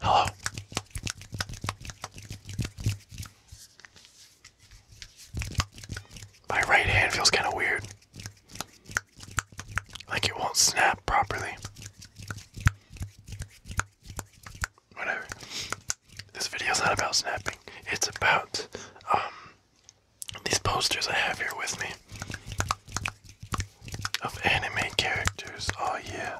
Hello. My right hand feels kind of weird. Like it won't snap properly. Whatever. This video's not about snapping. It's about um these posters I have here with me of anime characters. Oh yeah.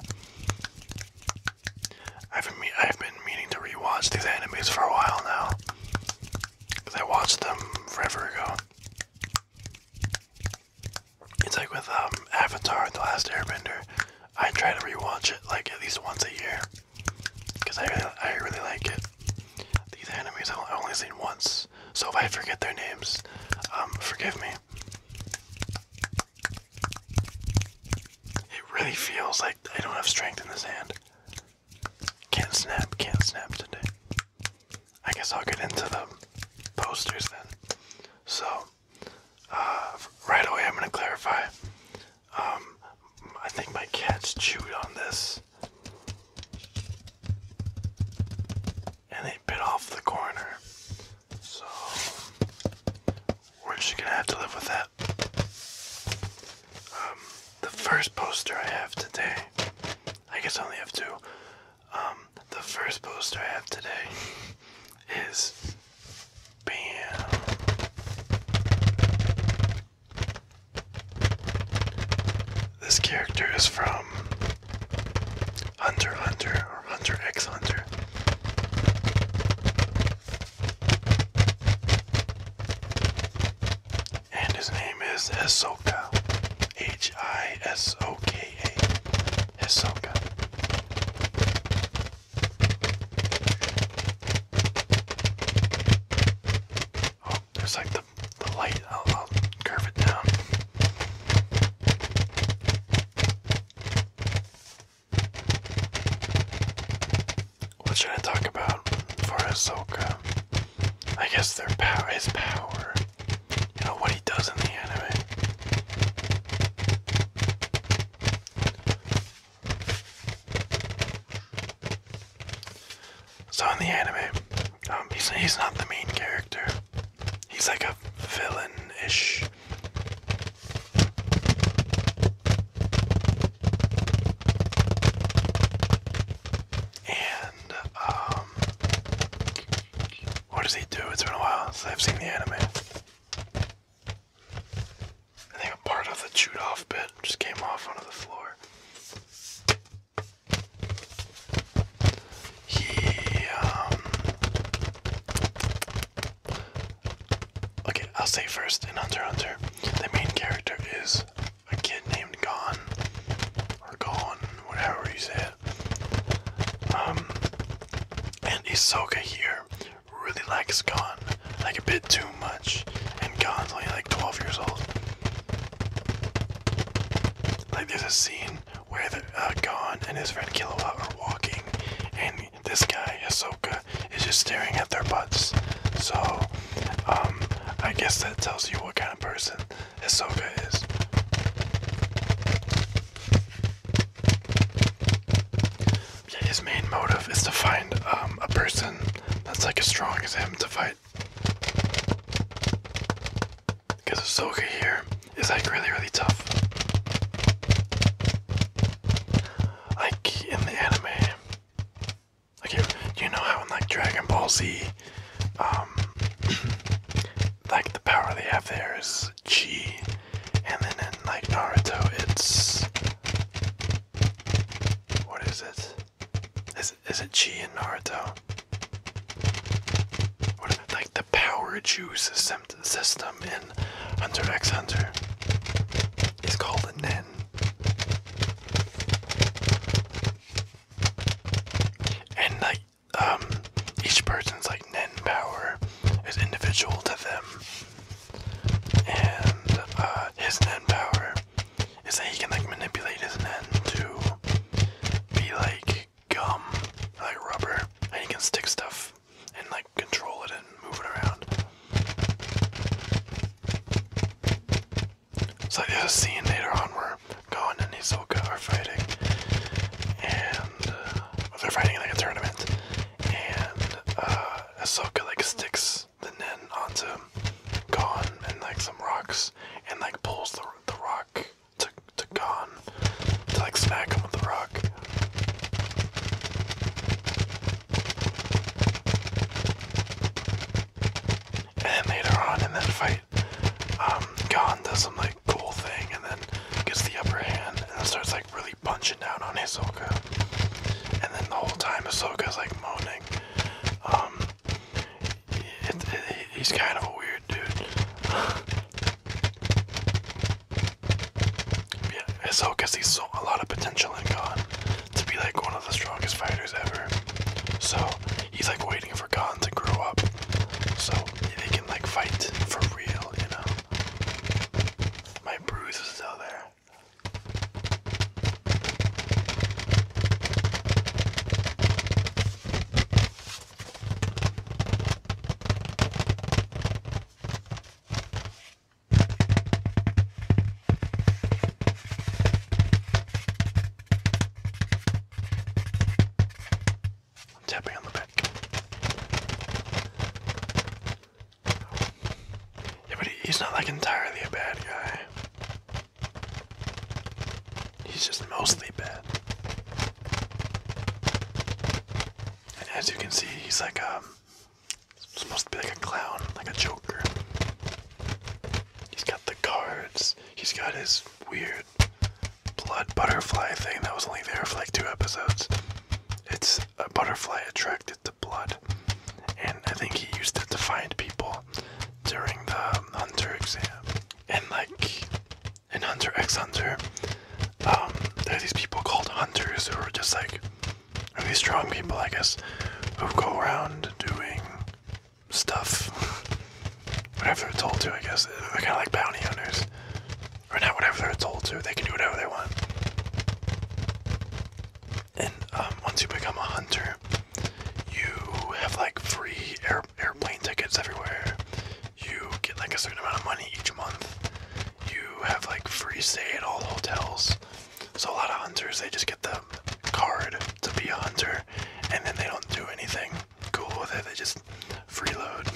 I've been I've been meaning to rewatch these animes for a while now. Cause I watched them forever ago. It's like with um, Avatar: The Last Airbender. I try to rewatch it like at least once a year because I I really like it. These enemies I've only seen once, so if I forget their names, um, forgive me. It really feels like I don't have strength in this hand. Can't snap, can't snap today. I guess I'll get into the posters then. So, uh, right away I'm gonna clarify. Um, I think my cat's chewed on this. And they bit off the corner. So we're just gonna have to live with that. Um, the first poster I have today, I guess I only have two. Um, the first poster I have today is BAM. This character is from Hunter Hunter or Hunter X Hunter. And his name is Hisoka. H I S O K A. Hisoka. Oh, there's like the the, light, I'll, I'll curve it down. What should I talk about for Ahsoka? I guess their power, his power. You know what he does in the anime. So in the anime, um, he's he's not the main character. He's like a villain-ish. And um, what does he do? It's been a while since I've seen the anime. I think a part of the chewed off bit just came off onto the floor. He, okay, I'll say first in Hunter Hunter, the main character is a kid named Gon, or Gon, whatever you say Um, and Isoka here really likes Gon, like a bit too much, and Gon's only like 12 years old. Like there's a scene where the uh, Gon and his friend Killua are walking, and this guy Ahsoka is just staring at their butts. So, um, I guess that tells you what kind of person Ahsoka is. his main motive is to find um, a person that's like as strong as him to fight it. Because Ahsoka here is like really, really tough. Like in the anime. Like, you, you know how in like Dragon Ball Z, um, like the power they have there is chi, and then in like Naruto, it's what is it? is it G in Naruto? like the power juice system in Hunter X Hunter is called a Nen? And like um each person's like Nen power is individual to them. And uh his Nen power is that he can like manipulate his net to be like gum, like rubber, and he can stick stuff and like control it and move it around. So there's a scene later on where Gon and Hisoka are fighting, and uh, they're fighting in like a tournament, and uh, like sticks the nen onto Gon and like some rocks, and like pulls the the rock to to Gon to like smack him with the rock. And then later on in that fight, um, Gon does some like cool thing and then gets the upper hand and then starts like really punching down on Ahsoka. And then the whole time Ahsoka's like moaning. Um he's kind of a weird dude. yeah, it's so because he's so a lot of potential in Khan to be like one of the strongest fighters ever. So he's like waiting for Khan to grow up, so they can like fight for real, you know. My bruise is still there. I'm tapping on the back. Yeah, but he's not like entirely a bad guy. He's just mostly bad. as you can see, he's like um supposed to be like a clown, like a joker. He's got the cards. He's got his weird blood butterfly thing that was only there for like two episodes. It's a butterfly attracted to blood. And I think he used it to find people during the hunter exam and like in Hunter X Hunter, um, there are these people called hunters who are just like these strong people, I guess, who go around doing stuff. whatever they're told to, I guess. They're kind of like bounty hunters. Or not whatever they're told to. They can do whatever they want. And um, once you become a hunter, you have like free airplane tickets everywhere. You get like a certain amount of money each month. You have like free stay at all hotels. So a lot of hunters they just get the card to be a hunter, and then they don't do anything cool with it. They just freeload,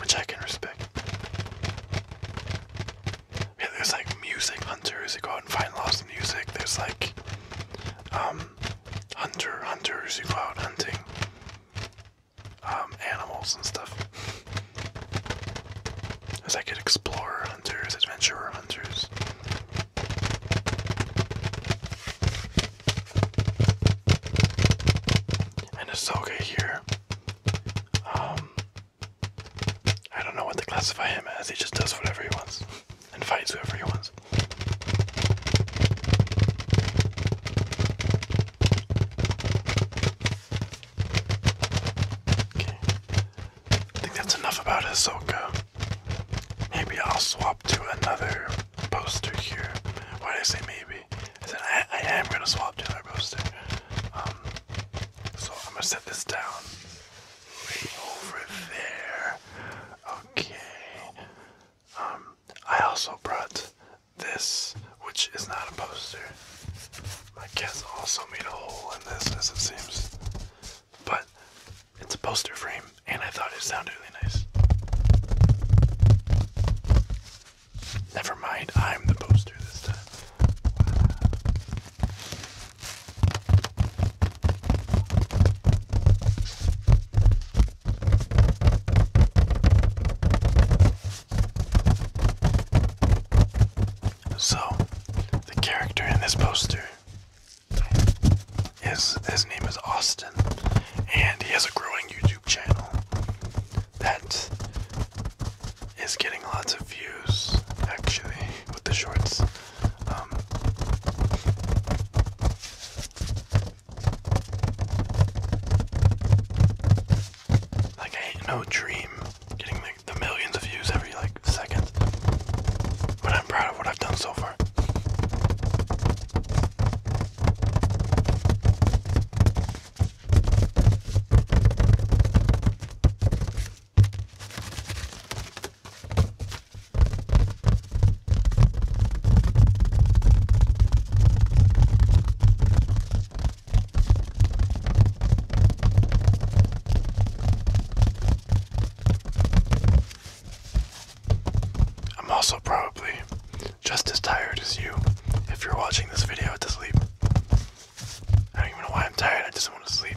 which I can respect. Yeah, there's like music hunters that go out and find lost music. There's like um, hunter hunters who go out hunting um, animals and stuff. As I could explorer hunters, adventurer hunters. And Ahsoka here. Um, I don't know what to classify him as, he just does whatever he wants and fights whoever he wants. Okay. I think that's enough about Ahsoka. Maybe I'll swap to another poster here. Why did I say maybe? I said I, am gonna swap to another poster. Um, so I'm gonna set this down. Right over there. Okay. Um, I also brought this, which is not a poster. My cats also made a hole in this, as it seems. But it's a poster frame, and I thought it sounded really nice. Never mind, I'm the poster this time. So, the character in this poster is his name is Austin, and he has a growing YouTube channel that is getting lots of views actually with the shorts. Um, like, I no dream getting the millions of views every like second, but I'm proud of what I've done so far. I'm also probably just as tired as you if you're watching this video to sleep. I don't even know why I'm tired, I just want to sleep.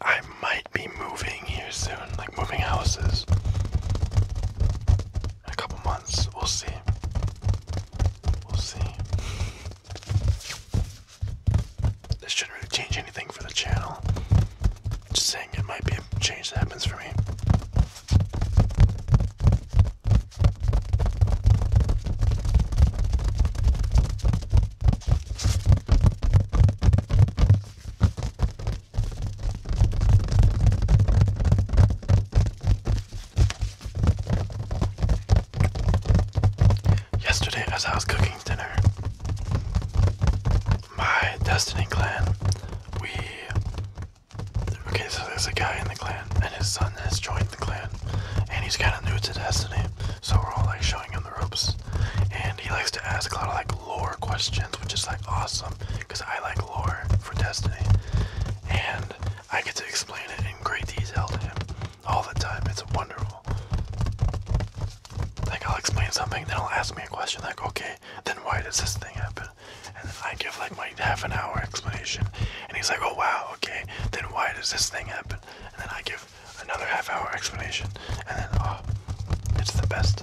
I might be moving here soon, like moving houses. In a couple months, we'll see. We'll see. This shouldn't really change anything for the channel. Just saying, it might be a change that happens for me. Yesterday, as I was cooking dinner, my Destiny clan, we. Okay, so there's a guy in the clan, and his son has joined the clan, and he's kind of new to Destiny, so we're all like showing him the ropes. And he likes to ask a lot of like lore questions, which is like awesome because I like lore for Destiny, and I get to explain it in great detail to him all the time. It's wonderful. Like I'll explain something, then he'll ask me a question like, okay, then why does this thing happen? And I give like my half an hour explanation, and he's like, "Oh wow, okay. Then why does this thing happen?" And then I give another half-hour explanation, and then oh, it's the best.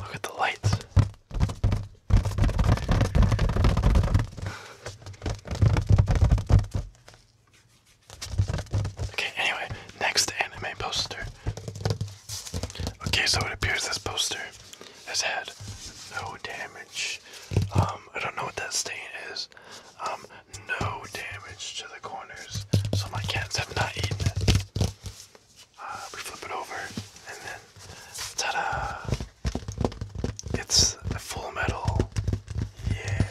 Look at the lights. Okay, anyway, next anime poster. Okay, so it appears this poster has had no damage. Um, I don't know what that stain is. Um, no damage to the corners, so my cats have not eaten it. Uh, we flip it over, and then ta-da! It's full metal. Yeah.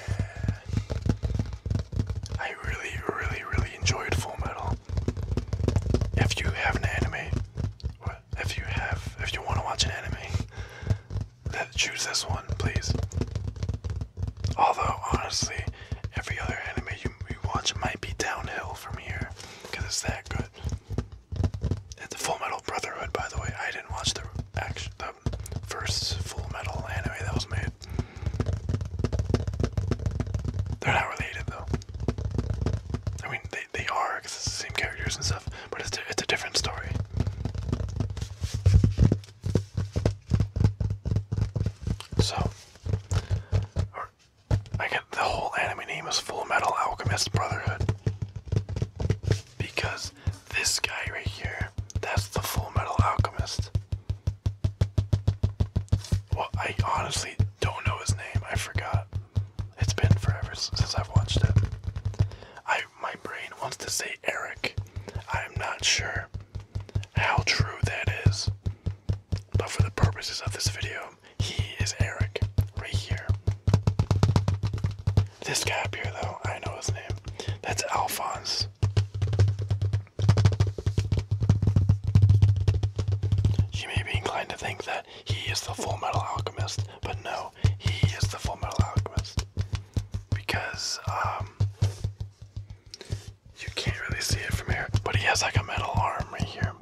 I really, really, really enjoyed Full Metal. If you have an anime, or if you have, if you want to watch an anime, that choose this one, please. Although honestly, every other anime you, watch might be downhill from here because it's that good. It's the Full Metal Brotherhood, by the way, I didn't watch the first Full Metal anime that was made. They're not related though. I mean, they they are because it's the same characters and stuff, but it's a different story. So, I get the whole anime name is Full Metal Alchemist Brotherhood. Because this guy right here, that's the Full Metal Alchemist. Well, I honestly don't know his name. I forgot. It's been forever since I've watched it. I my brain wants to say Eric. I am not sure how true that is. But for the purposes of this video, he is Eric, right here. This guy up here, though, I know his name. That's Alphonse. You may be inclined to think that he is the Full Metal Alchemist, but no, he is the Full Metal Alchemist. Because, um, you can't really see it from here, but he has like a metal arm right here.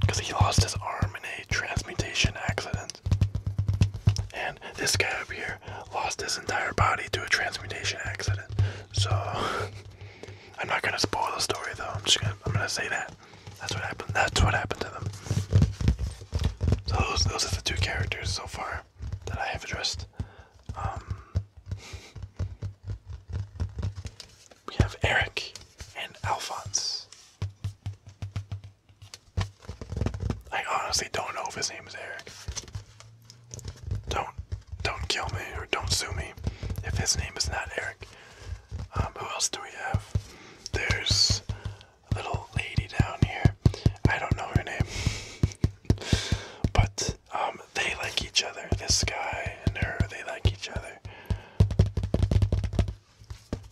Because he lost his arm in a transmutation accident. And this guy up here lost his entire body to a transmutation accident. So I'm not gonna spoil the story though. I'm just gonna I'm gonna say that. That's what happened. That's what happened to them. So those those are the two characters so far that I have addressed. Um, we have Eric and Alphonse. I honestly don't know if his name is Eric. Don't don't kill me or don't sue me if his name is not Eric. Um, who else do we have? There's a little lady down here. I don't know her name. but um, they like each other. This guy and her, they like each other.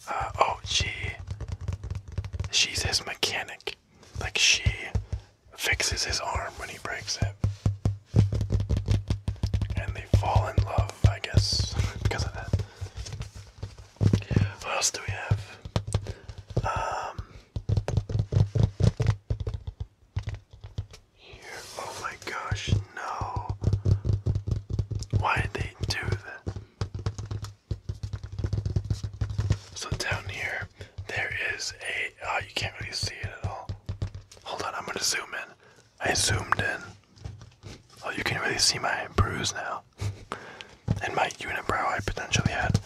Uh, oh, she. She's his mechanic. Like, she fixes his arm when he breaks it. And they fall in love, I guess, because of that. What else do we have? Um, Oh my gosh, no. Why did they do that? So down here, there is a. Oh, you can't really see it at all. Hold on, I'm gonna zoom in. I zoomed in. Oh, you can really see my bruise now. and my unibrow I potentially had.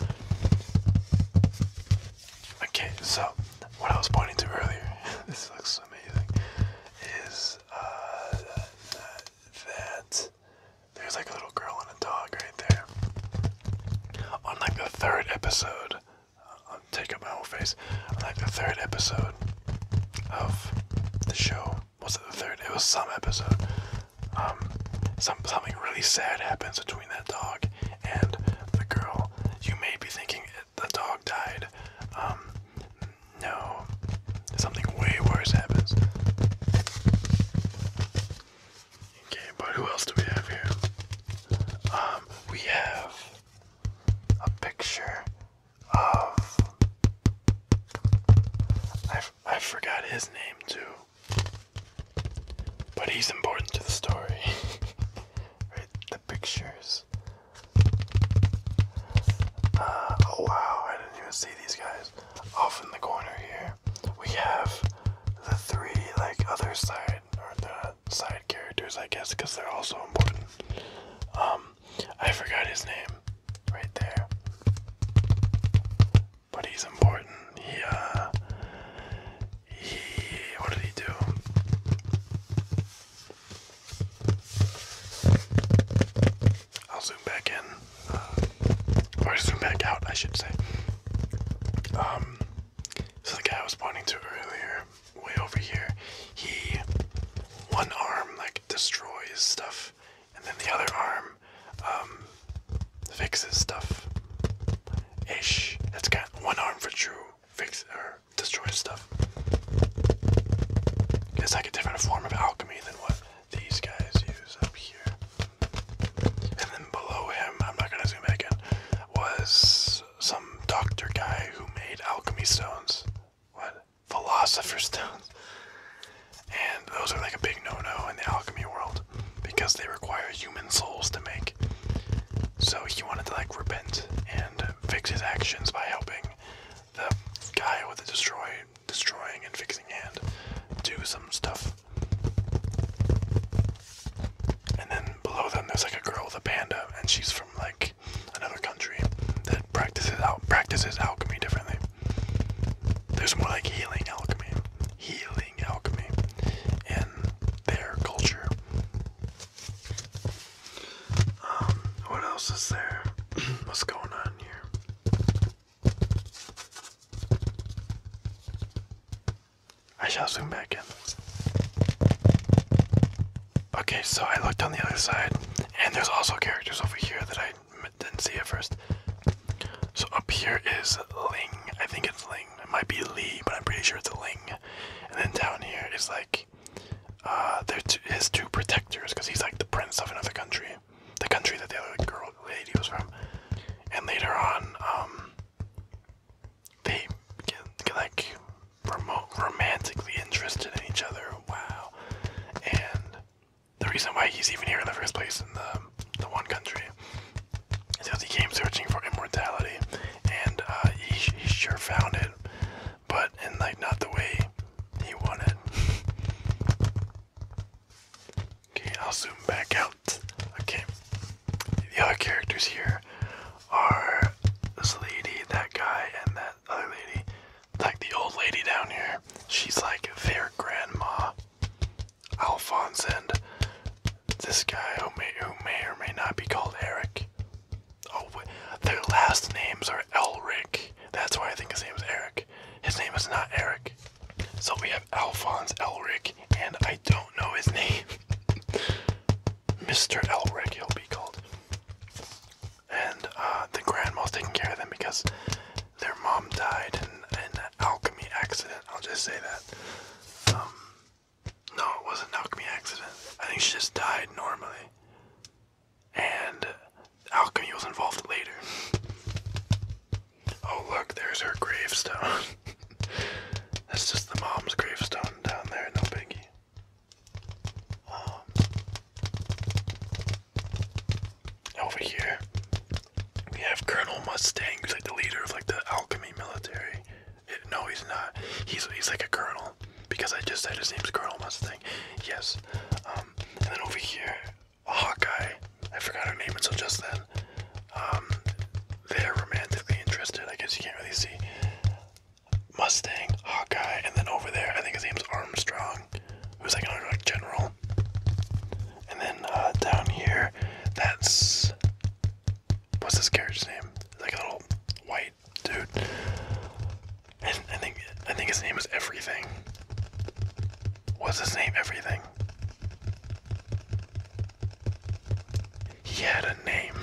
Okay, so what I was pointing to earlier, this looks amazing, is uh, that there's like a little girl and a dog right there. On like the third episode, uh, I'm taking my whole face. like the third episode of the show, was it the third? It was some episode. Um, some something really sad happens between that dog and the girl. You may be thinking the dog died. Um, no, something way worse happens. Okay, but who else do we have here? Um, we have a picture of. I, I forgot his name too. But he's important to the story. right? The pictures oh wow, I didn't even see these guys. Off in the corner here, we have the three, like, other side, or the side characters, I guess, because they're also important. Um, I forgot his name right there. But he's important. He, uh, he what did he do? I'll zoom back in, uh, or zoom back out, I should say. Um, so the guy I was pointing to earlier, way over here, he one arm like destroys stuff, and then the other arm um, fixes stuff. Ish. That's got one arm for true fix or destroy stuff. It's like a different form of alchemy than what these guys use up here. And then below him, I'm not gonna zoom back in, was some doctor guy who made alchemy stones. What? Philosopher stones. And those are like a big no no in the alchemy world because they require human souls to make so he wanted to like repent and fix his actions by helping the guy with the destroy destroying and fixing hand do some stuff. And then below them there's like a girl with a panda and she's from like another country that practices out practices alchemy differently. There's more like healing alchemy. Healing alchemy in their culture. Um, what else is there? What's going on here? I shall zoom back in. Okay, so I looked on the other side, and there's also characters over here that I didn't see at first. So up here is Ling. I think it's Ling. It might be Li, but I'm pretty sure it's Ling. And then down here is like uh, his two protectors because he's like the prince of another country, the country that the other girl lady was from. And later on, um, they get, like romantically interested in each other. Wow! And the reason why he's even here in the first place in the the one country is because he came searching for immortality, and uh, he sure found it but in like not the way he wanted. okay, I'll zoom back out. Okay, the other characters here are this lady, that guy, and that other lady. Like the old lady down here, she's like their grandma. Alphonse and this guy who may who may or may not be called Eric. Oh, their last names are Elric. That's why I think his name is Eric. His name is not Eric. So we have Alphonse Elric, and I don't know his name. Mr. Elric, he'll be called. And uh, the grandma's taking care of them because their mom died in an alchemy accident. I'll just say that. Um, no, it wasn't alchemy accident. I think she just died normally. And alchemy was involved later. Oh look, there's her gravestone. That's just the mom's gravestone down there, no biggie. Um, over here, we have Colonel Mustang, who's like the leader of like the alchemy military. No, he's not. He's he's like a colonel because I just said his name's Colonel Mustang. Yes. Um, and then over here, Hawkeye. I forgot her name until just then. Um, they're romantically interested. I guess you can't really see. Mustang, Hawkeye, and then over there, I think his name's Armstrong, who's like an like general. And then uh, down here, that's what's this character's name? It's Like a little white dude. I think I think his name is Everything. What's his name? Everything. He had a name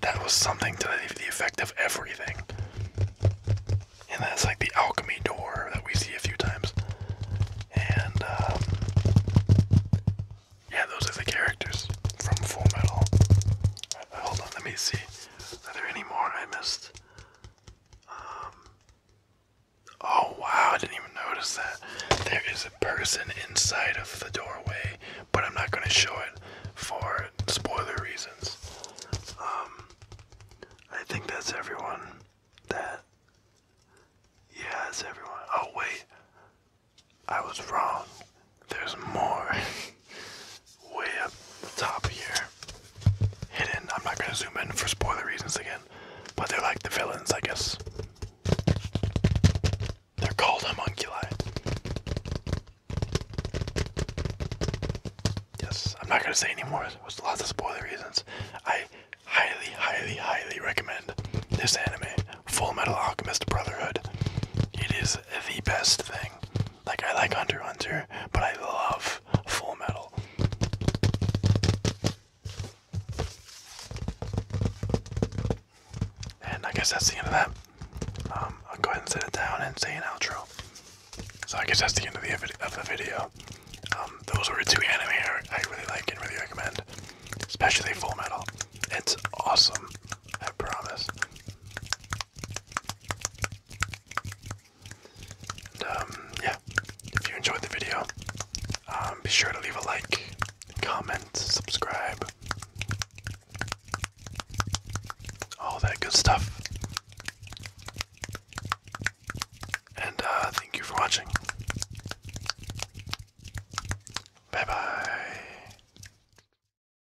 that was something to the, effect of everything. And that's like the alchemy door that we see a few times. And um, yeah, those are the characters from Full Metal. Uh, hold on, let me see. Are there any more I missed? Um, oh wow, I didn't even notice that. There is a person inside of the doorway, but I'm not going to show it for spoiler reasons. Um, I think that's everyone that. Yeah, everyone. Oh, wait. I was wrong there's more way up the top here. Hidden. I'm not gonna zoom in for spoiler reasons again. But they're like the villains, I guess. They're called homunculi. Yes, I'm not gonna say anymore. There's lots of spoiler reasons. I highly, highly, highly recommend this anime, Full Metal Alchemist Brotherhood. It is the best thing like I like Hunter Hunter, but I love Full Metal. And I guess that's the end of that. Um, I'll go ahead and set it down and say an outro. So I guess that's the end of the of the video. Um, those were two anime I really like and really recommend, especially Full Metal. It's awesome. I promise. Um, yeah, if you enjoyed the video, um, be sure to leave a like, comment, subscribe, all that good stuff. And uh, thank you for watching. Bye bye.